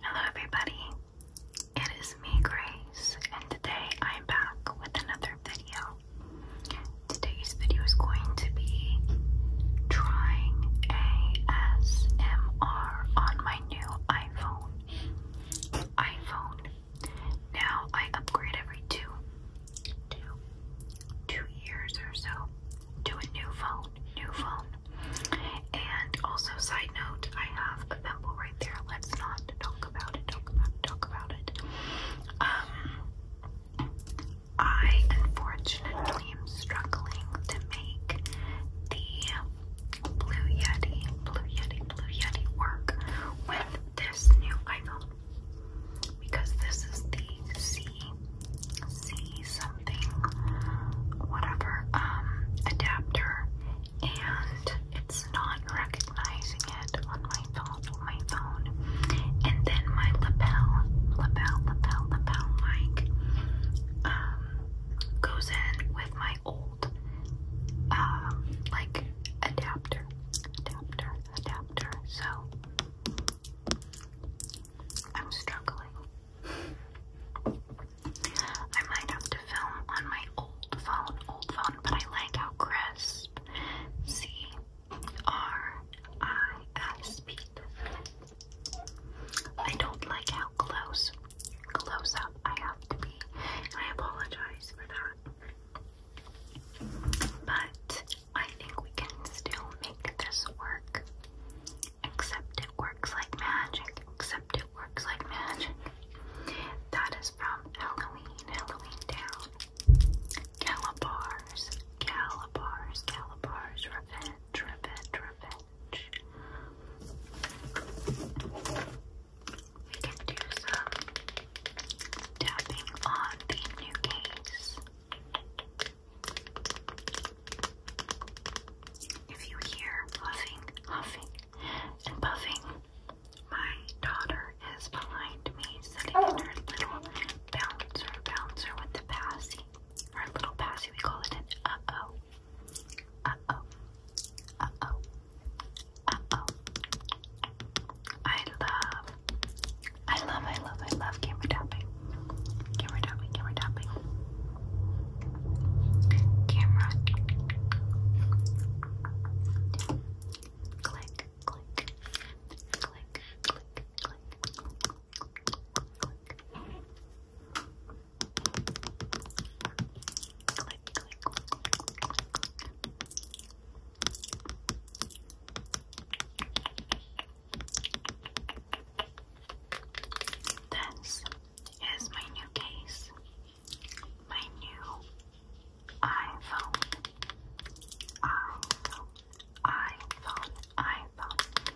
Hello, everybody. It is me, Grace, and today I'm back with another video. Today's video is going to be trying ASMR on my new iPhone. iPhone. Now I upgrade every two, years or so to a new phone, new phone. And also, side note, I have a pimple right there. Let's not talk about it, talk about it, talk about it. Um, I unfortunately am struggling to make the Blue Yeti, Blue Yeti, Blue Yeti work with this new iPhone because this is the C, C something, whatever, um, adapter, and it's not recognizing it on my phone, my phone, and then my lapel, lapel, lapel, lapel mic, um, goes in with my old, um, like, adapter, adapter, adapter, so... I'm struggling. I might have to film on my old phone, old phone, but I like how crisp. C R I S P. I don't like how close, close up I have to be, I apologize for that. But I think we can still make this work. Except it works like magic. Except it works like magic. That is from Halloween, Halloween Town. Calibars, Calibars, Calibars, Revenge, Revenge, Revenge. We can do some tapping on the new case. If you hear huffing, huffing, and puffing, my daughter is behind me sitting in her little bouncer, bouncer with the passy. Our little passy, we call it an uh-oh. Uh-oh. Uh-oh. Uh-oh. I love I love, I love, I love camera tapping. Camera tapping, camera tapping. Camera. Click, click, click, click, click. Click, click, click, click. This is my new case, my new iPhone, iPhone, iPhone, iPhone,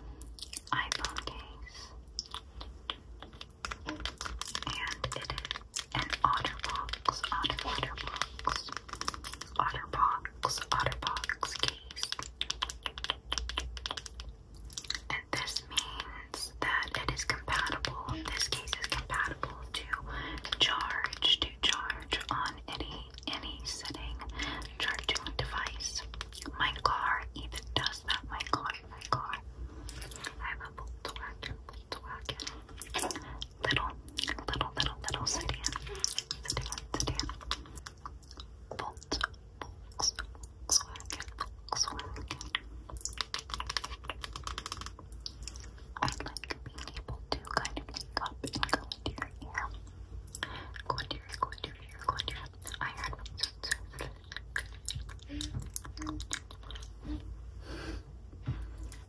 iPhone case, and it is an OtterBox, Otter OtterBox Otterbox, Otterbox case. And this means that it is compatible, this case is compatible to charge, to charge on any any setting, charging device. My car even does that. My car, my car. I have a Volkswagen, Volkswagen. Little Little, little, little sedan. Sedan, sedan. Volt, Volks, Volkswagen, Volkswagen. I like being able to kind of wake into your ear. into your into your into your I heard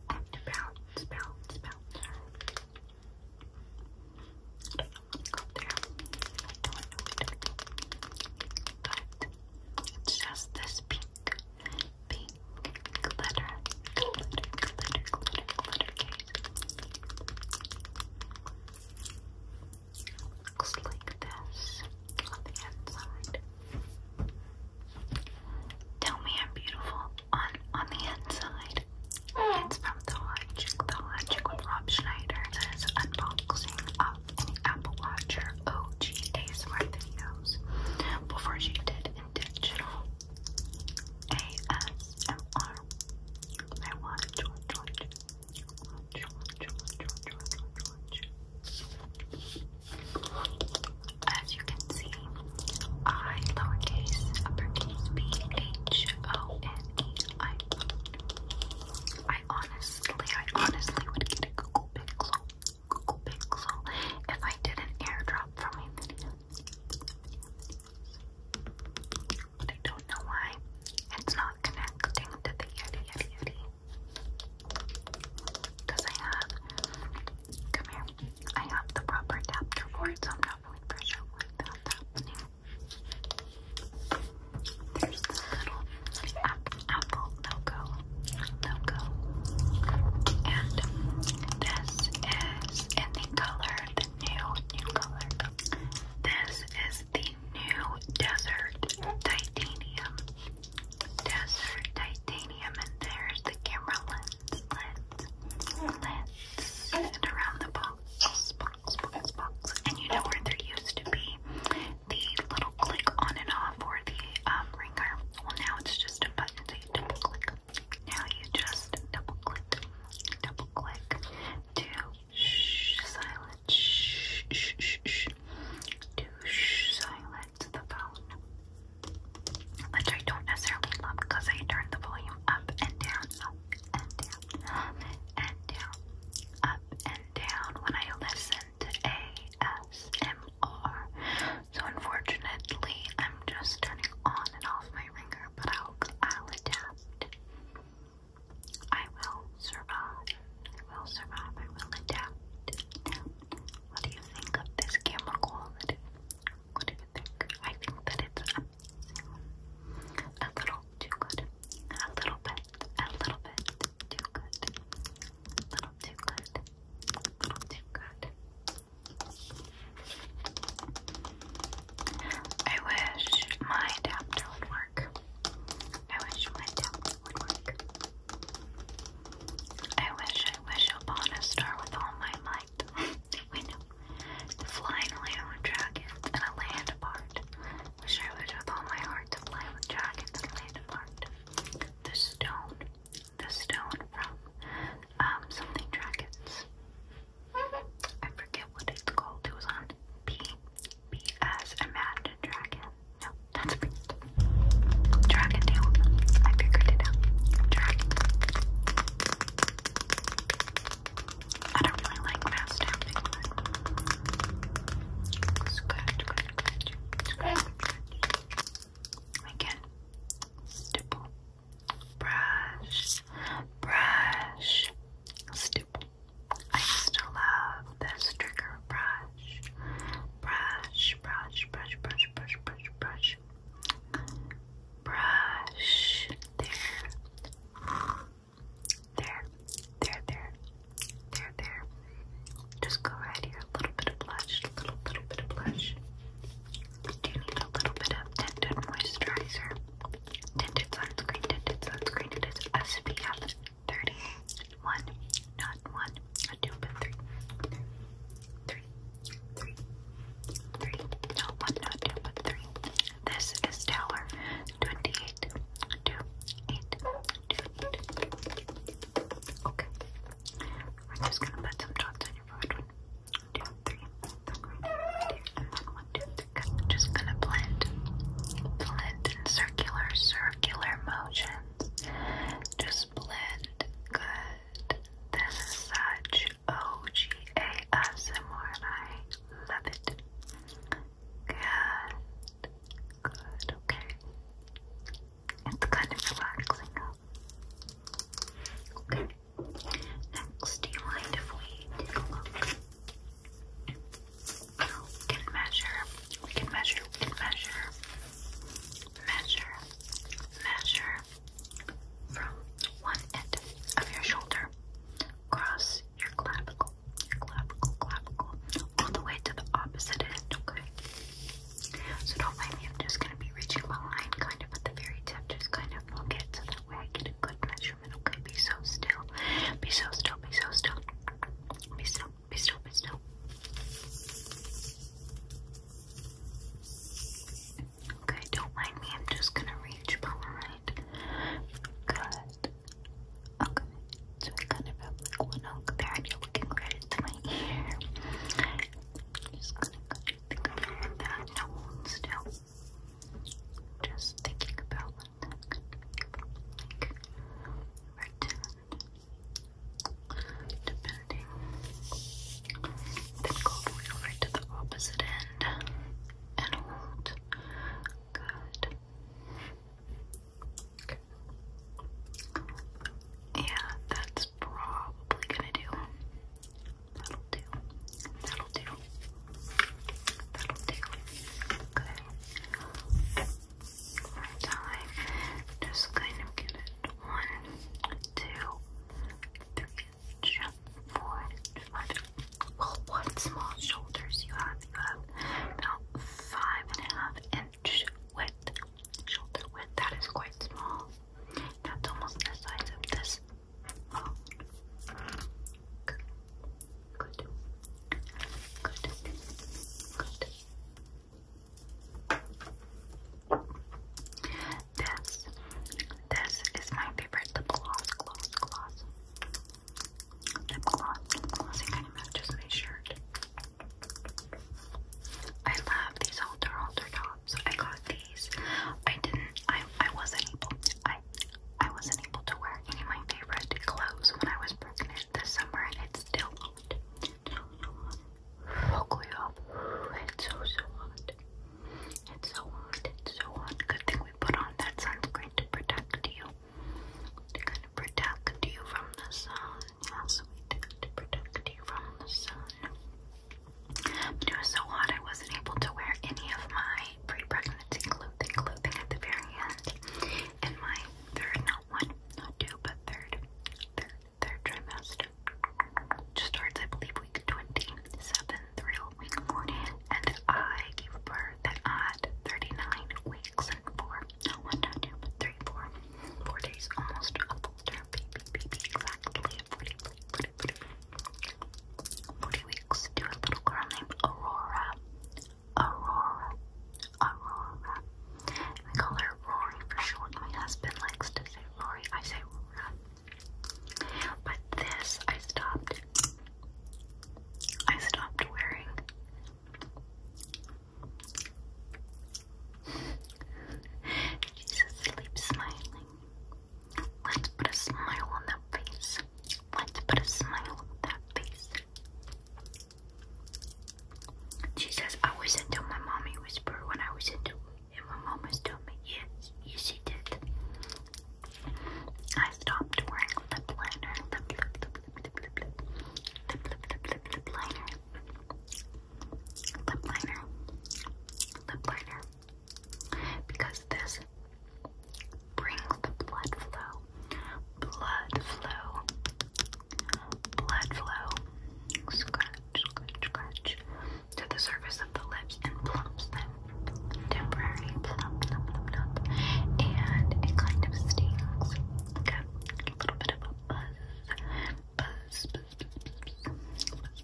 and bounce, bounce, go there. I don't know it. But it's just this pink, pink glitter, glitter, glitter, glitter, glitter case. Looks like this on the inside. Tell me I'm beautiful on on the inside. It's from The Logic. The Logic with Rob Schneider. is unboxing of an Apple Watcher OG videos before she did intentional ASMR. I want to George, George, George, George, George, George, George. As you can see, I lowercase uppercase B A H O N E I phone. I honestly, I honestly would get a Google Pixel, Google Pixel, if I did an airdrop for my video. But I don't know why it's not connecting to the Yeti Yeti Yeti. Because I have, come here, I have the proper adapter for it, so I'm not there's the little ap apple logo, logo, and this is in the color, the new, new color. This is the new desert titanium, desert titanium, and there's the camera lens, lens, lens, and around the ball. And you know where there used to be the little click on and off or the um, ringer? Well, now it's just a button that you double click. Now you just double click, double click to silence, to silence the phone. Which I don't necessarily love because I turn the volume up and down, up up and down, up and down when I listen to ASMR. So unfortunately, I'm just turning on and off my ringer, but I'll, I'll adapt. I will survive. I will survive. I will adapt. What do you think of this camera quality? I think that it's A little too good. A little bit. A little bit too good. A little too good. A little too good. I wish my adapter would work. I wish my adapter would work. I wish, I wish upon a star with all my flight window. To fly in a and a land apart. Wish I would with all my heart to fly with dragons and land apart. The stone. The stone from um something dragons. I forget what it's called. It was on B B S Imagine Dragon. No, that's weird. Dragon tail. I figured it out. Dragon. I don't really like mouse tapping, but Again, stipple, brush, brush, stipple. I used to love this trigger brush, brush, brush, brush, brush, brush, brush, brush brush. There. There. There, there. There, there. Just go right here. A little bit of blush. A little, little bit of blush. We do need a little bit of tinted moisturizer. Tinted sunscreen. Tinted sunscreen. It is SPF 30. Not one. Not two, but three. Three. Three. one, not two, but three. This is tower 28. Okay. We're just gonna put some dots on your forehead. One, two, three, then right here, just gonna blend, blend in circular, circular motions. Just blend. Good. This is H O G A S M R, love it. Good, good, okay. It's kind of relaxing. Okay. Next, do you mind if we take a look? We can measure. We can measure. We can measure. Measure. Measure. From one end of your shoulder cross your clavicle, your clavicle, clavicle, all the way to the opposite end, okay? So don't mind me, just going to be reaching behind, kind of at the very tip, just kind of look it so that way I get a good measurement, okay? Be so still, be so still, be so still, be still, be still, be still. Okay, don't mind me. I'm just gonna reach Pomerite. Good. Okay, so I kind of have like one oak there, and you're looking right into my ear. I'm just gonna kind of think about that. No, still. Just thinking about like. Pretend. Depending. Then go over to the opposite end and hold. Good. Yeah, that's probably gonna do. That'll do. That'll do. That'll do. Good. One time. Just kind of give it one, two, three four, five. Well, what small shoulders you have? You have about five and a half inch width, shoulder width. That is quite small. That's almost the size of this. Good. Good. Good. Good. This this is my favorite The gloss, gloss, gloss. Lip gloss, lip matches my shirt. I love these halter halter tops. I got these. I didn't. I I wasn't able. I I wasn't able to wear any of my favorite clothes when I was pregnant this summer, and it's still hot. It's It's so so hot. It's so hot, it's so hot. Good thing we put on that sunscreen to protect you. To kind of protect you from the sun. Yes, To protect you from the sun. it was so hot I wasn't able to wear any of my pre-pregnancy clothing, at the very end. And my third, not one, not two, but third, third trimester. Just starts, I believe, week 27 thrill week morning, and I gave birth at 39 weeks and four, no, one, two, two, three, four, four days, almost a full term baby, baby, exactly 40, 40, 40, 40 weeks to a little girl named Aurora, Aurora, Aurora. We call her Rory for short. My husband likes to say Rory. I say Aurora. But this I stopped. I stopped wearing. Jesus sleeps smiling. Let's put a smile on that face. Let's put a smile on that face. She I was into my mommy whisper when I was into it. And my mama's told me, yes, she did. I stopped wearing lip liner, lip, lip, lip liner, lip liner, lip liner, because this brings the blood flow, blood flow, blood flow, scratch, scratch, scratch, to the surface the lips and plumps them, temporarily plump them, plump, and it kind of stings. a little bit of a buzz, buzz, buzz, buzz, buzz, buzz,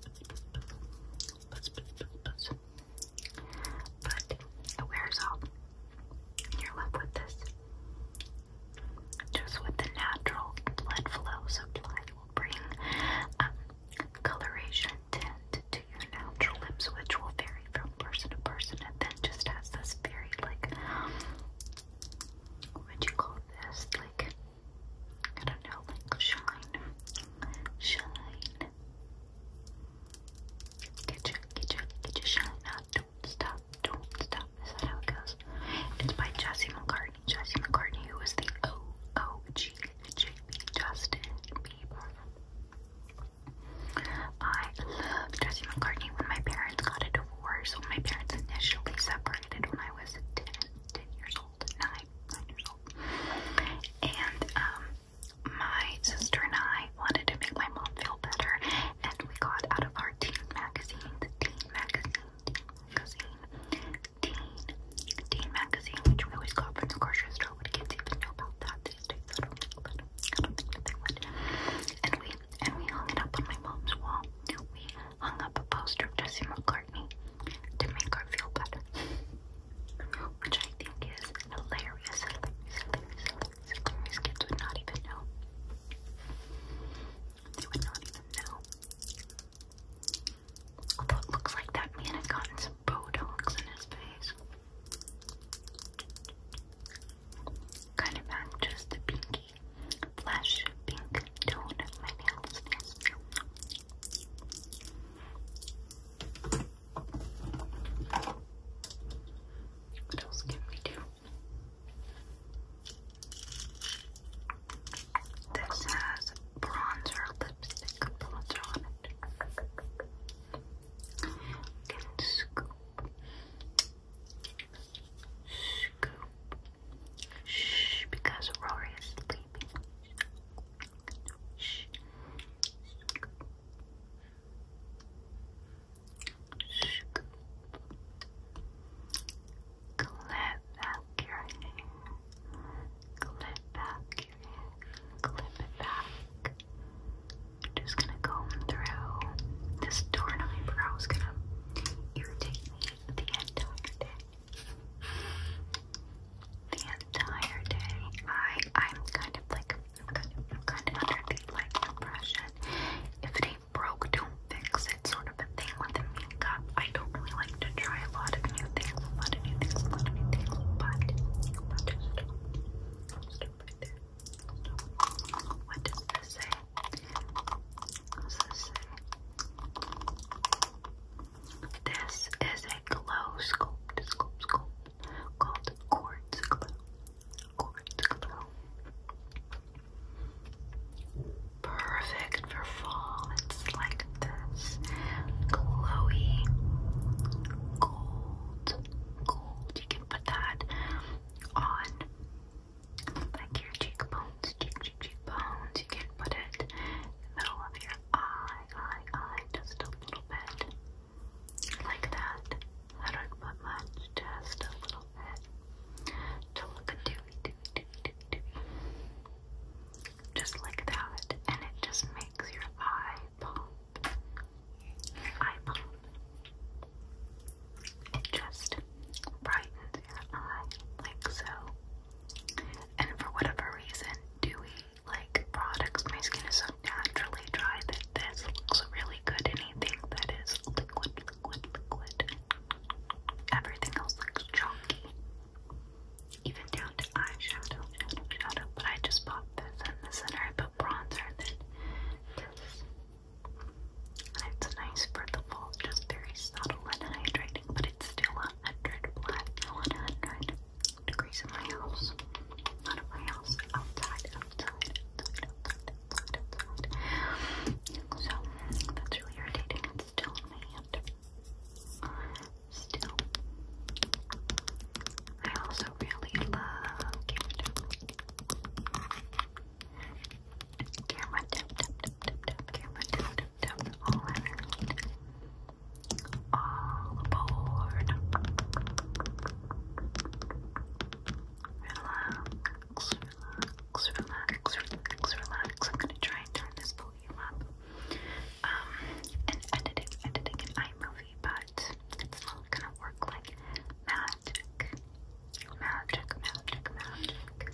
buzz, buzz, buzz, but it wears off. You're left with this, just with the natural blood flow supply will bring um, coloration attend to your natural lips, which will vary from person to person, and then just has this very, like, what would you call this? Like, I don't know, shine. Shine. Get your, get your, get your shine out. Don't stop, don't stop. Is that how it goes? It's by Jessie McCartney. Jessie McCartney, who was the OOG it should be Justin Bieber. I love Jesse McCartney when my parents got a divorce. When my parents initially separated when I was 10, 10 years old, 9, 9 years old. And um, my sister and I wanted to make my mom feel better and we got out of our teen magazine, the teen magazine, teen magazine, teen, teen magazine, which we always got from the grocery store when kids even know about that. I don't think that, And we hung it up on my mom's wall. We hung up a poster of Jesse McCartney to make her feel better. Which I think is hilarious. Hilarious, hilarious, Kids would not even know. They would not even know. Although it looks like that man had gotten some Botox in his face. Kind of just the pinky flash pink tone my nails. What else can we This has bronzer lipstick bronzer on it. Little scoop, scoop. Shh, because Rory is sleeping. Shh. Scoop. Clip back your hair. Clip back clip it back. I'm just gonna comb through. This torn eyebrow is gonna irritate me the entire day. The entire day. I I'm kind of like I'm kind of, I'm kind of under the like impression. If it ain't broke, don't fix it. Sort of a thing with the makeup. I don't really like to try a lot of new things, a lot of new things, a lot of new things, but but what does this say? this is a glow sculpt, called Quartz Perfect for fall. It's like this glowy gold gold, gold. You can put that on like your cheekbones, cheek, cheek, cheekbones. You can put it in the middle of your eye, eye, eye, just a little bit. Like that. don't put much, just a little bit. To look dewy, dewy, dewy, dewy, dewy. Just like that. And it just makes your eye pop i It just brightens your eye like so. And for whatever reason, dewy like products, my skin is so naturally dry that this looks really good. Anything that is liquid, liquid, liquid. Everything else looks chunky even down to eyeshadow, shadow, shadow. But I just pop this in the center. I put bronzer and this. it's nice for the fall, just very subtle and hydrating, but it's still 100 black, 100 degrees in my house. Not in my house, outside, outside, outside, outside, outside. So that's really irritating. It's still in my hand still. I also really love camera Camera tap tap tap tap tap camera all around. All aboard. Relax, relax, relax, relax, relax. I'm gonna try and turn this volume up um, an editing, editing in iMovie, but it's not gonna work like magic. Magic, magic, magic.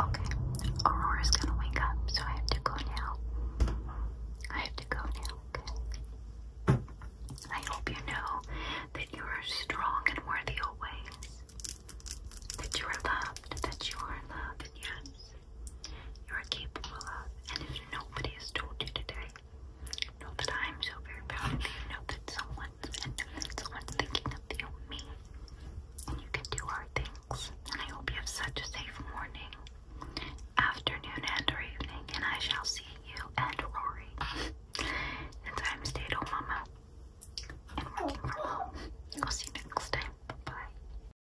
Okay, Aurora's gonna wake up, so I have to go now. I have to go now, okay? I hope you know that you are strong and worthy always. That you are loved, that you are loved, and yes, you are capable of, and if nobody has told you today, know that I am so very proud of you. Know that someone's and know that someone's thinking of you, me, and you can do hard things. And I hope you have such a safe morning, afternoon, and evening. And I shall see you and Rory And I'm stay-at-home oh, mama and working from home. I'll see you next time. Bye.